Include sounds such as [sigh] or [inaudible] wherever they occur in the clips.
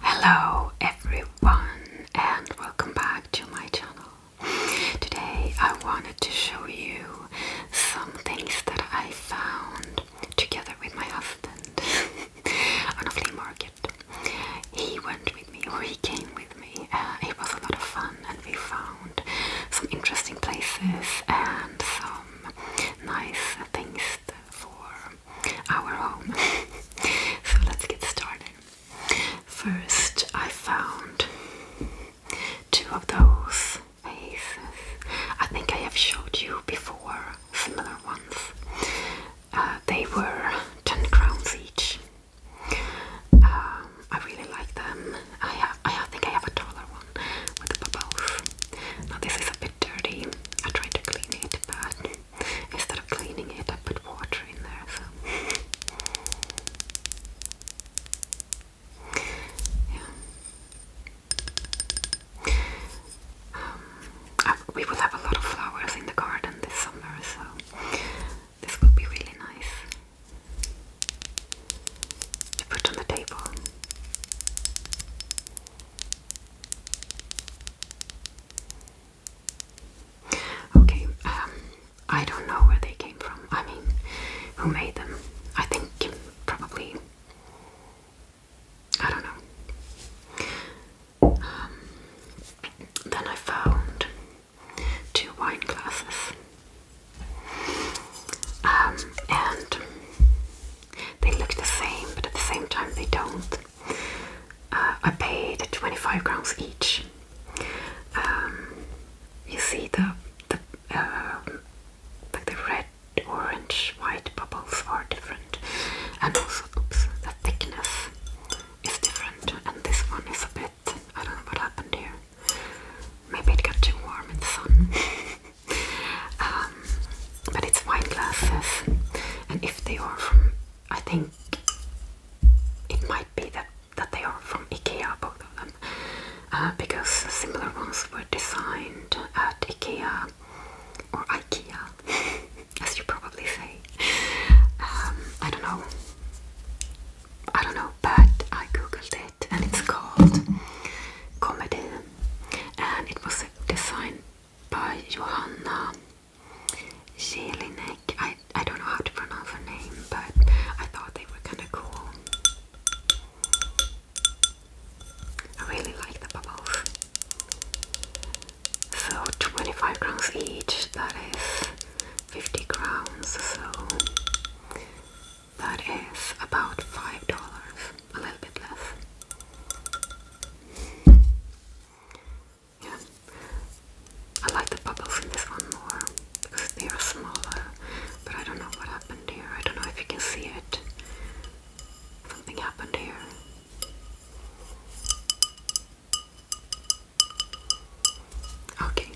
Hello everyone and welcome back to my channel. Today I wanted to show you some things that I found together with my husband [laughs] on a flea market. He went with me or he came with me. Uh, it was a lot of fun and we found some interesting places and some nice things for our home. [laughs] so let's get started. First, I found two of those vases. I think I have showed you before similar ones. Uh, they were 10 crowns each. Um, I really like them. I, have, I think I have a taller one with bubbles. Now, this is a bit dirty. I tried to clean it, but [laughs] instead of cleaning it, I put water in there. So. Yeah. Um, we will have a lot of flowers in the garden this summer, so this will be really nice to put on the table. Okay, um, I don't know where they came from. I mean, who made them? I think probably. I don't know. Um, then I found two wine glasses. Um, and they look the same, but at the same time they don't. Uh, I paid 25 crowns each. Um, you see the the um, like the red, orange, white bubbles are different, and also oops, the thickness is different. And this one is a bit I don't know what happened here. Maybe it got too warm in the sun. [laughs] Um, but it's wine glasses, and if they are from, I think it might be that that they are from IKEA, both of them, uh, because similar ones were designed at IKEA or IKEA, [laughs] as you probably say. Um, I don't know. I don't know, but I googled it, and it's called Comedy and it was designed by Johanna Jelinek. I, I don't know how to pronounce her name, but I thought they were kind of cool. I really like the bubbles. So 25 crowns each, that is 50 crowns. so that is about five dollars, a little bit less. Yeah, I like the bubbles in this one more because they are smaller. But I don't know what happened here. I don't know if you can see it. Something happened here. Okay.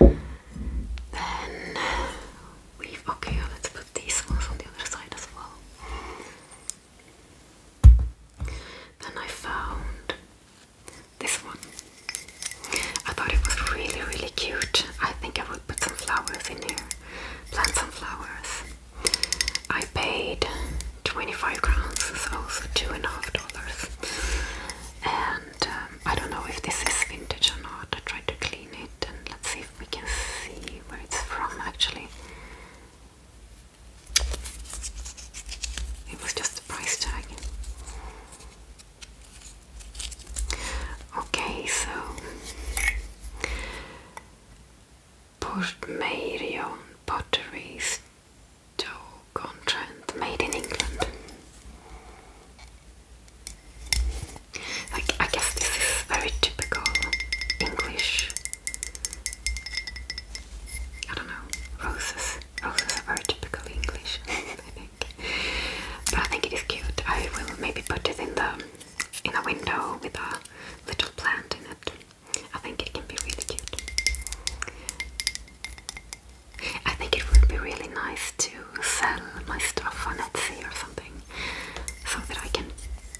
Then we've okay. Let's put these ones on the other side as well. Then I found this one. I thought it was really, really cute. I think I would put some flowers in here, plant some flowers. I paid 25 crowns, so, so two and a half dollars. And um, I don't know if this is vintage or not. I tried to clean it let's see if we can see where it's from actually. It was just a price tag. Okay, so Portmarion Pottery Pottery's on Trent, made in England. Like, I guess this is very typical English. I don't know, roses. Roses are very typical English, [laughs] I think. But I think it is cute. I will maybe put it in the in a window with a little plant in it. I think it can be really cute. I think it would be really nice to sell my stuff on Etsy or something, so that I can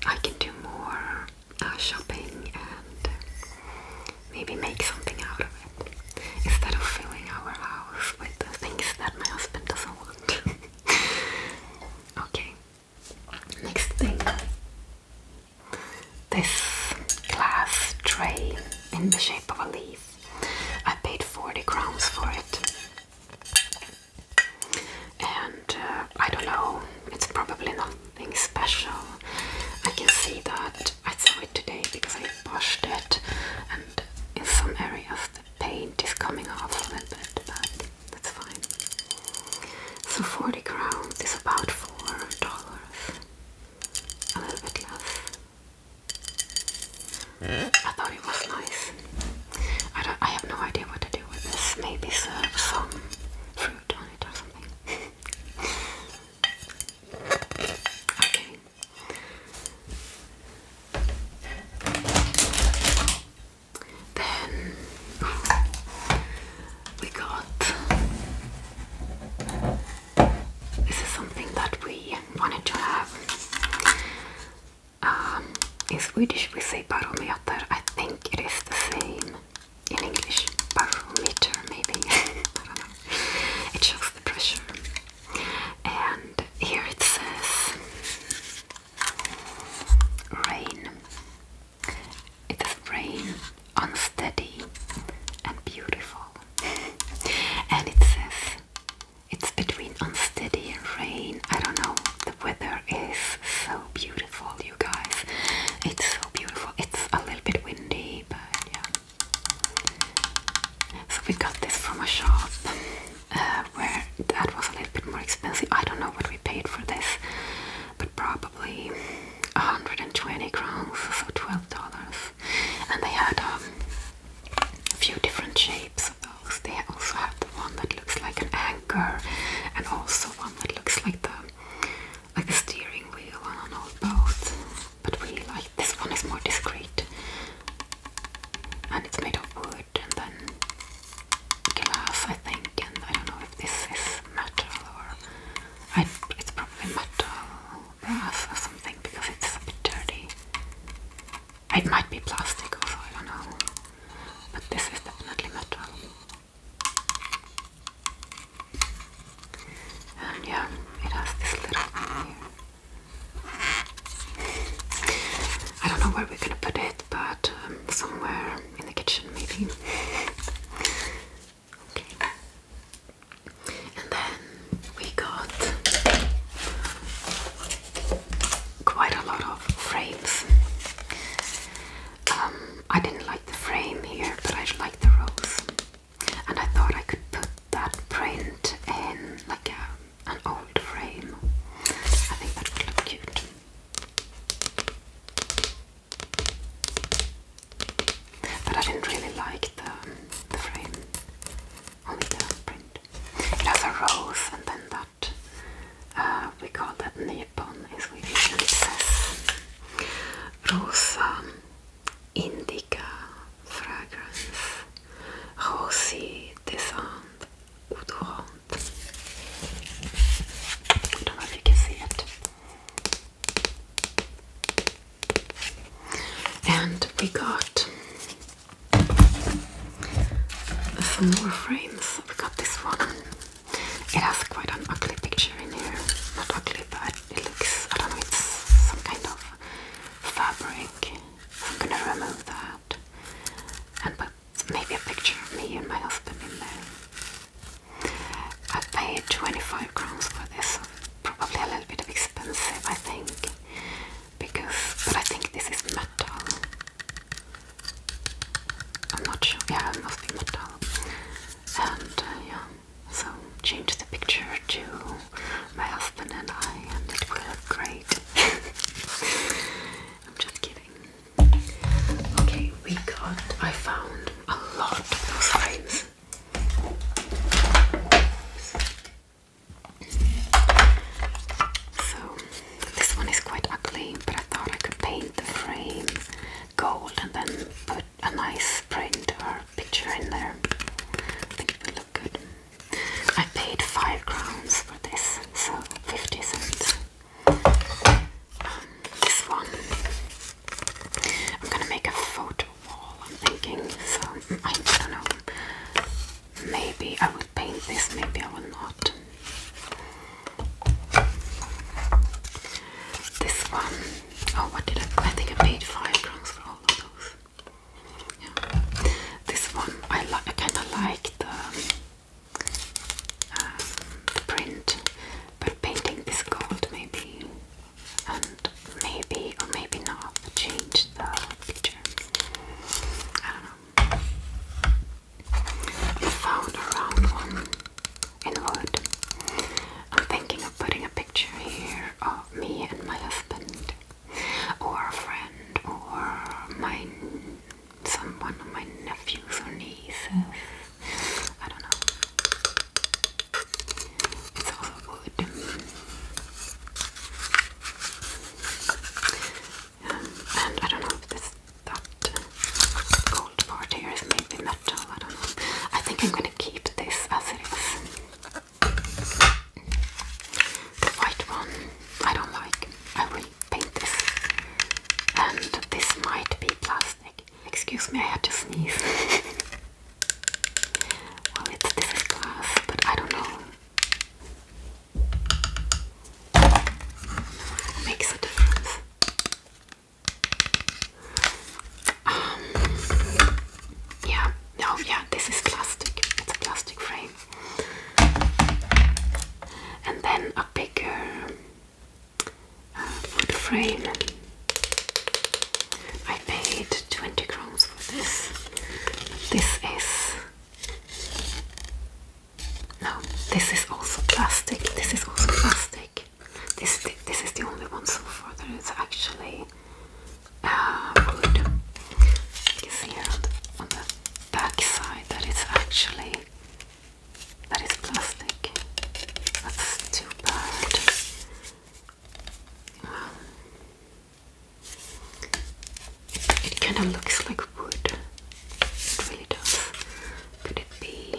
I can do more uh, shopping and uh, maybe make something out of it instead of filling our house with things that my husband doesn't want. [laughs] okay, next thing. This glass tray in the shape of a leaf. I paid 40 crowns for it. And uh, I don't know, it's probably nothing special. I can see that I saw it today because I washed it, and in some areas the paint is coming off a little bit, but that's fine. So 40 crowns is about $4, a little bit less. I thought it was nice. I don't. I have no idea what to do with this. Maybe serve some fruit on it or something. [laughs] okay. Then we got this is something that we wanted to have. Um, in Swedish we say barometer. I think it is the same in English. Barometer, maybe. [laughs] I don't know. It shows the pressure. And here it says rain. It is rain, unsteady and beautiful. [laughs] And it says it's between unsteady and rain. I don't know. The weather is so beautiful, you guys. It's so beautiful. It's a little bit windy, but yeah. So we got this from a shop uh, where that was a little bit more expensive. I don't know what we paid for this, but probably 120 crowns, so $12 and they had um, a few different shapes of those. They also have the one that looks like an anchor and also one that looks like the like the steering wheel on an old boat. But we like this one is more discreet. And it's made of wood and then glass I think and I don't know if this is metal or I, it's probably metal brass or something because it's a bit dirty. It might be plastic also, I don't know. But this is definitely metal. And yeah, it has this little thing here. I don't know where we're gonna put it, but um, somewhere in the kitchen maybe. [laughs] And then we got quite a lot of frames. Um, I didn't like the frame here, but I like the rose. And I thought I could put that print in like an old frame. I think that would look cute. But I didn't really like the, the frame, only the print. It has a rose and then that, uh, we call that Nippon in Swedish, and it Rosa um, Indica Fragrance Rosy Descent Odorant. I don't know if you can see it. And we got some more frames. We got this one. It has quite an ugly picture in here. Not ugly, but it looks, I don't know, it's some kind of fabric. I'm gonna remove that and put maybe a picture of me and my husband in there. I paid 25 crowns for this, probably a little bit expensive, I think, because but I think this is metal. I'm not sure. Yeah, it must be metal. And uh, yeah, so change the picture to my husband and I, and it will look great. [laughs] I'm just kidding. Okay, we got. I found a lot of those so this one is quite ugly, but I thought I could paint the frame gold and then put a nice print or picture in there. I think it will look good. I paid five crowns for this, so 50 cents. Um, this one, I'm gonna make a photo wall, I'm thinking. So, I don't know. Maybe I will paint this, maybe I will not. This one, oh, what did I? I think I paid five crowns for all of those. Yeah. This one, I, I kind of like the, um, the print, but painting this gold maybe and maybe or maybe not change the picture. I don't know. I found a round one in wood. I'm thinking of putting a picture here of me and my husband, or a friend, or my some one of my nephews or nieces. I don't know. It's all wood. and I don't know if this that gold part here is maybe metal. I don't know. I think I'm gonna keep this as it is. The white one I don't like. I will paint this, and this might be plastic. Excuse me, I had to sneeze. [laughs] Well, it's this is glass, but I don't know. makes a difference. Um, yeah, no, yeah, this is plastic. It's a plastic frame. And then a bigger wood um, frame. I paid 20 crowns for this. This is no, this is also plastic. This is also plastic. This this is the only one so far that is actually uh, wood. see on the back side that it's actually that is plastic. That's too bad it kind of looks like wood. It really does. Could it be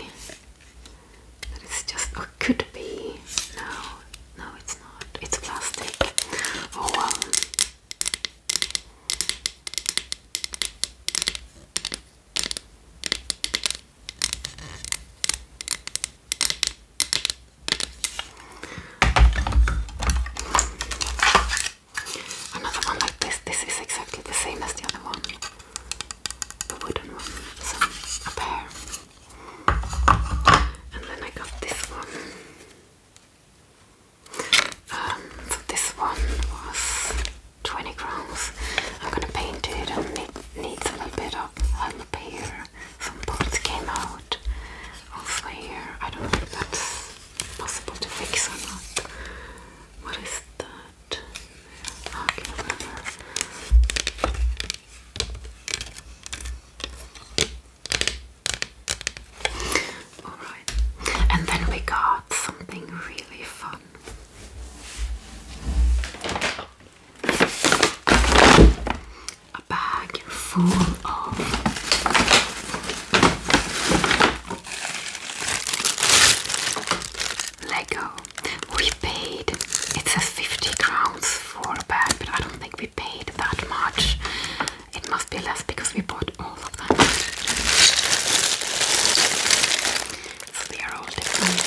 it's just, could it be? No, no, it's not. It's plastic. Oh, Another one like this. This is exactly the same as the other one. The wooden one. So a pair. And then I got this one. Um, this one was 20 grams. I'm going to paint it and it needs a little bit of help here. Some parts came out. Also here, I don't think that's possible to fix or not. What is that? I can Alright, and then we got something really fun a bag full of Lego. We paid, it says 50 crowns for a bag, but I don't think we paid that much. It must be less because we bought all of that so they are all different.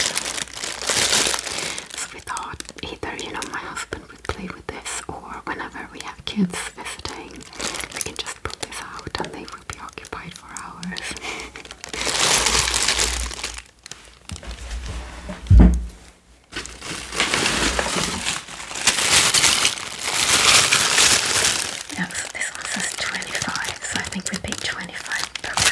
So we thought either, you know, my husband would play with this or whenever we have kids visiting, we can just put this out and they will be occupied for hours. yeah, so this one says 25, so I think we paid 25 right, perfect.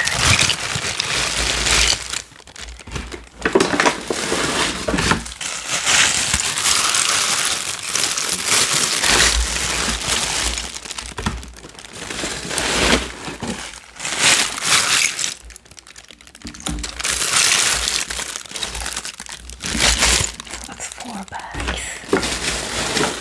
That's four bags.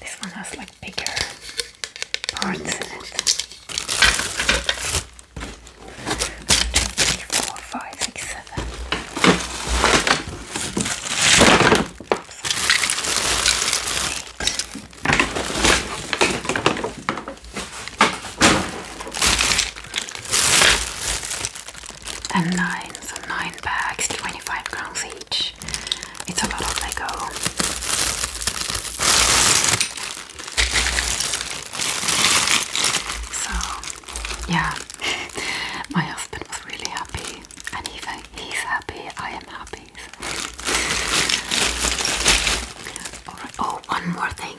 This one has like bigger parts in it. One, two, three, four, five, six, seven. Eight and nine, so nine bags, 25 crowns each. It's a lot of Lego. So, yeah, [laughs] my husband was really happy, and even he's happy, I am happy. So. [laughs] Oh, one more thing.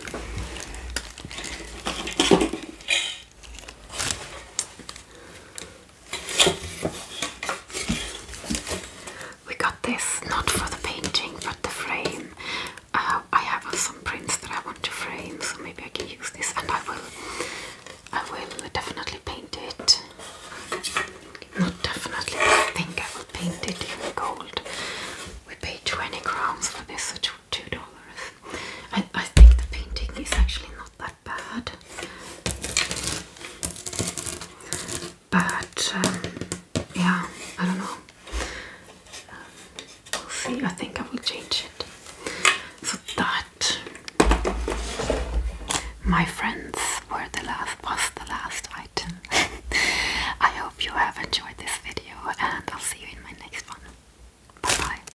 We got this not for the painting but the frame. Uh, I have some prints that I want to frame, so maybe I can use this, and I will. I will definitely paint it. Not definitely. I think I will paint it in gold. We pay 20 crowns for this, which is two dollars. I think the painting is actually not that bad. But um, yeah, I don't know. Um, we'll see. I think I will change it. So that, my friends, were the last was the last item. [laughs] I hope you have enjoyed this video, and I'll see you in my next one. Bye bye.